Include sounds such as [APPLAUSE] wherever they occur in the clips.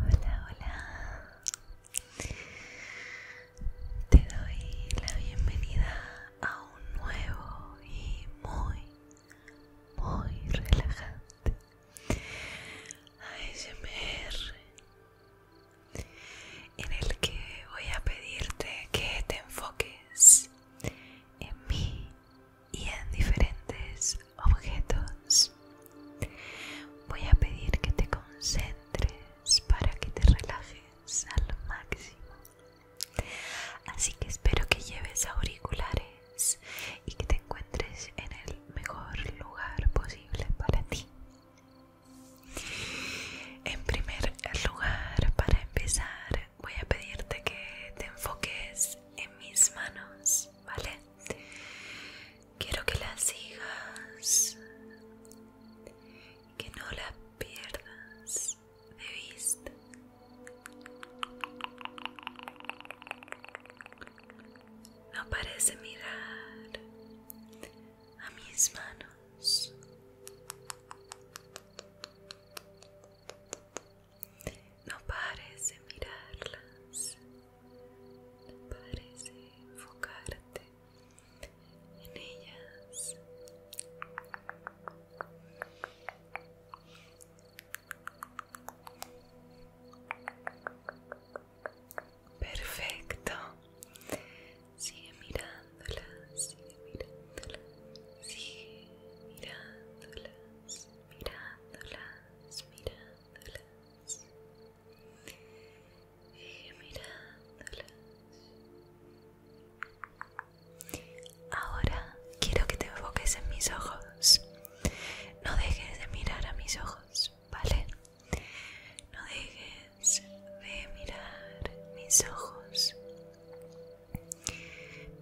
Hola, hola. Te doy la bienvenida a un nuevo y muy, muy relajante ASMR en el que voy a pedirte que te enfoques en mí y en diferentes objetos. Voy a pedir que te concentres para que te relajes al máximo. Así que espero que lleves auriculares y que te encuentres en el mejor lugar posible para ti. En primer lugar, para empezar, voy a pedirte que te enfoques en mis manos, ¿vale? Quiero que las sigas, que no las pierdas de vista. No parece mirar a mis manos. No parece mirarlas. No parece enfocarte en ellas. Perfecto. Sigue mirándolas sigue mirándolas, sigue mirándolas, mirándolas, mirándolas. Sigue mirándolas. Ahora quiero que te enfoques en mis ojos. No dejes de mirar a mis ojos, ¿vale? No dejes de mirar mis ojos.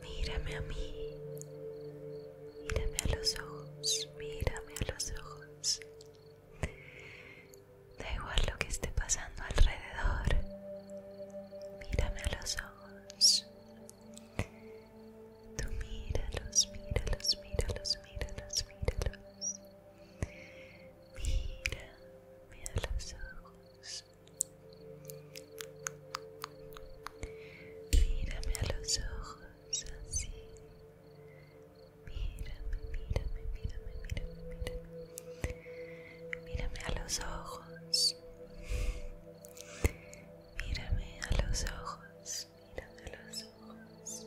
Mírame a mí. Mírame a los ojos. Mírame a los ojos. Da igual lo que esté pasando alrededor. Mírame a los ojos. Tú míralos, míralos, míralos, míralos, míralos. Mira, a los ojos. Mírame a los ojos, así. Mírame, mírame, mírame, mírame, mírame. Mírame a los ojos. Mírame a los ojos, mírame a los ojos,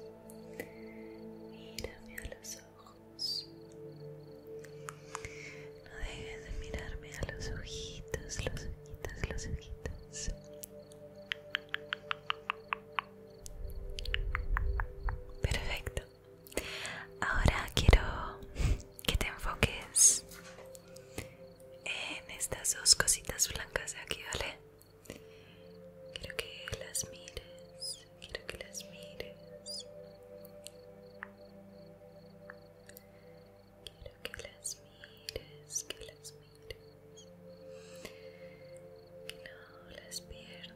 mírame a los ojos. No dejes de mirarme a los ojitos, los ojitos, los ojitos. Perfecto. Ahora quiero que te enfoques en estas dos cositas blancas de aquí, ¿vale? Quiero que las mires, quiero que las mires. Quiero que las mires, que las mires. Que no las pierdas.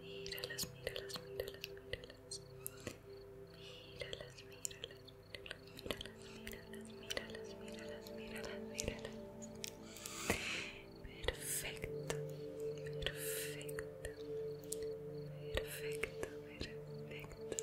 Míralas, míralas, míralas, míralas. Míralas, míralas, míralas, míralas, míralas, míralas, míralas, míralas. Perfecto, perfecto, perfecto, perfecto.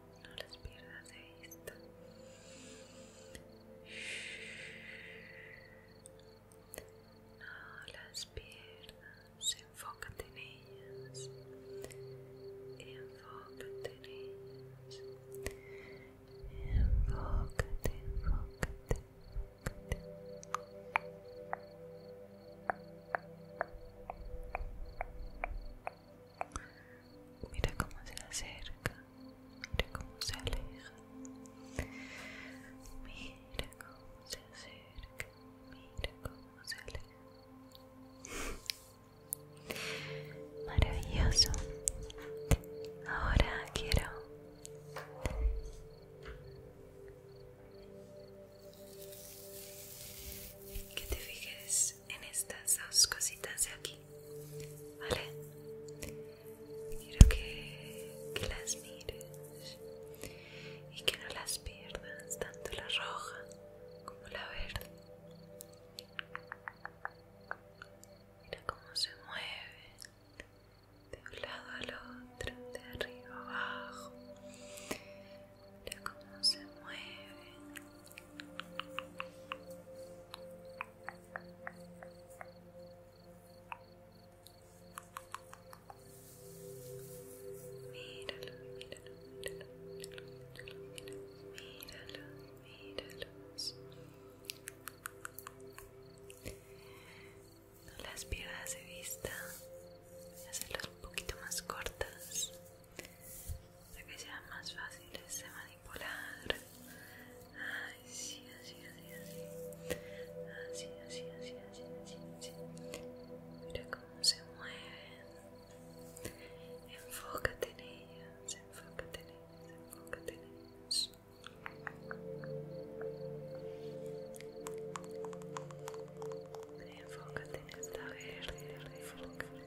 no las pierdas de esto no las pierdas enfócate en ellas enfócate en ellas enfócate enfócate enfócate Mira cómo se acerca, mira cómo se aleja. Mira cómo se acerca, mira cómo se aleja. Maravilloso. Ahora quiero que te fijes en estas dos cositas de aquí, ¿vale? Quiero que, que las mires y que no las pierdas, tanto la roja como la verde. Mira cómo se mueve de un lado al otro, de arriba abajo te cómo se mueven. Míralo, míralo, míralo, míralo, míralo, No las piernas de vista, voy a hacerlas un poquito más cortas para que sea más fácil de manipular. Ay, sí, así, así, así. Así, así, así, así, así, Mira cómo se mueven. Enfócate en ellos, enfócate en ellos, enfócate en ellos. Enfócate en esta verde, enfócate.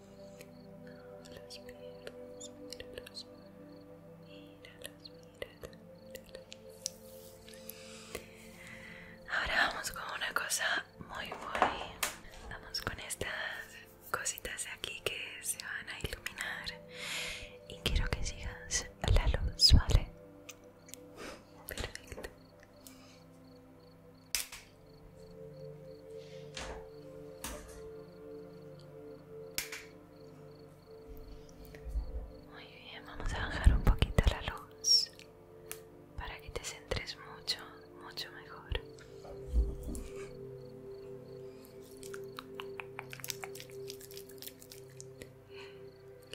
Ahora vamos con una cosa muy, muy. Vamos con estas cositas de aquí que se van a iluminar y quiero que sigas la luz, ¿vale? Perfecto. Muy bien, vamos a bajar un poquito la luz para que te centres mucho, mucho mejor.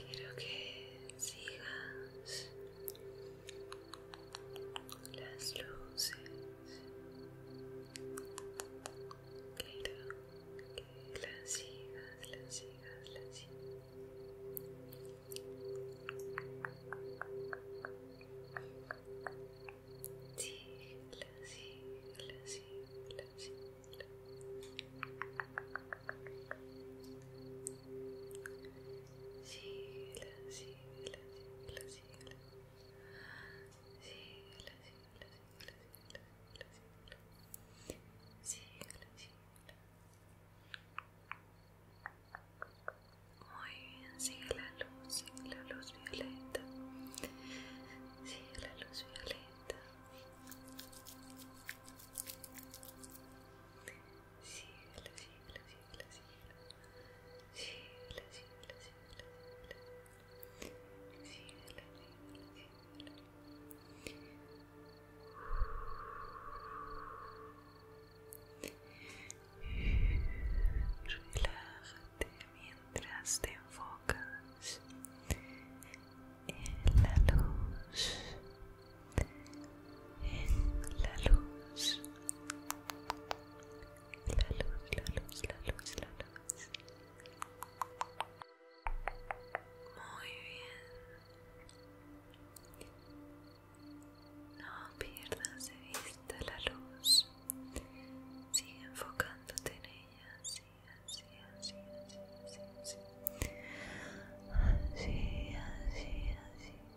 Quiero que sigas las luces quiero que las sigas las sigas las sigas las sigas las sigas síguela, síguela, la sigue la sigue la sigue la sigue la Muy bien, sigue la luz, sigue la luz violeta, sigue la luz violeta. la sigue síguela, sigla, sigla, la sigla, Relájate mientras te enfocas en la luz en la luz, la luz, la luz, la luz, la luz. Muy bien. No pierdas de vista la luz. Sigue enfocándote en ella. Así, así, así, así, así, así. Así, así, así.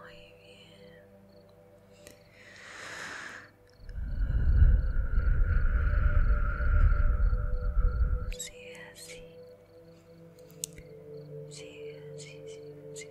Muy bien. Sigue así. Sigue así, sigue así.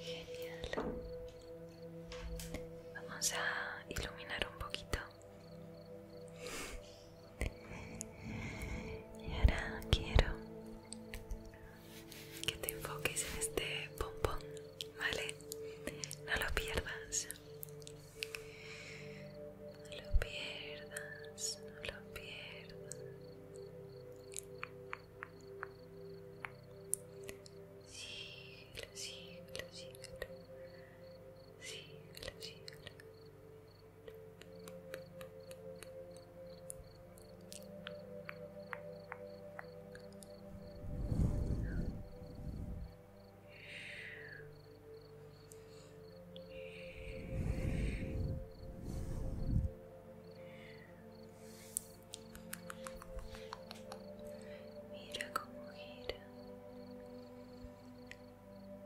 Genial. Vamos a iluminar un poquito. Y ahora quiero que te enfoques en este pompón, ¿vale? No lo pierdas. No lo pierdas, no lo pierdas. Síguelo, síguelo, Mira cómo gira.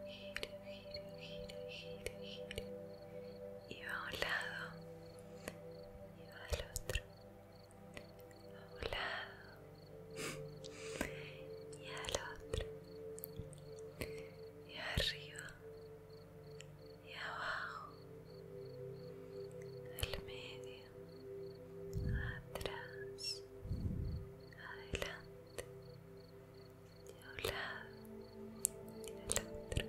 Gira, gira, gira, gira, gira. Y va a un lado y va al otro a un lado y al otro y arriba y abajo al medio atrás adelante a un lado y al otro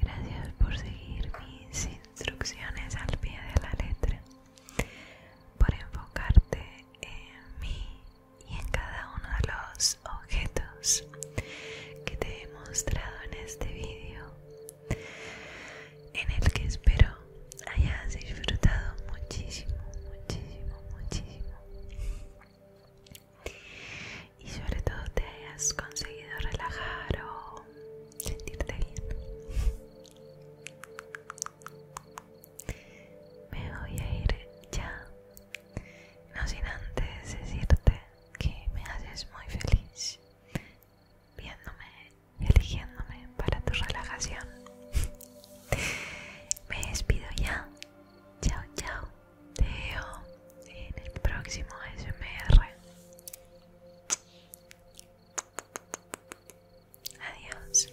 Gracias por seguir mis instrucciones al pie de la letra, por enfocarte en mí y en cada uno de los objetos que te he mostrado en este vídeo en el que espero hayas disfrutado muchísimo, muchísimo, muchísimo y sobre todo te hayas conseguido relajar o sentirte bien. Me voy a ir ya, no sin antes decirte que me haces muy feliz viéndome, eligiéndome para tu relajación. [LAUGHS] Me despido ya. Chao, chao. Te veo en el próximo SMR. Adiós.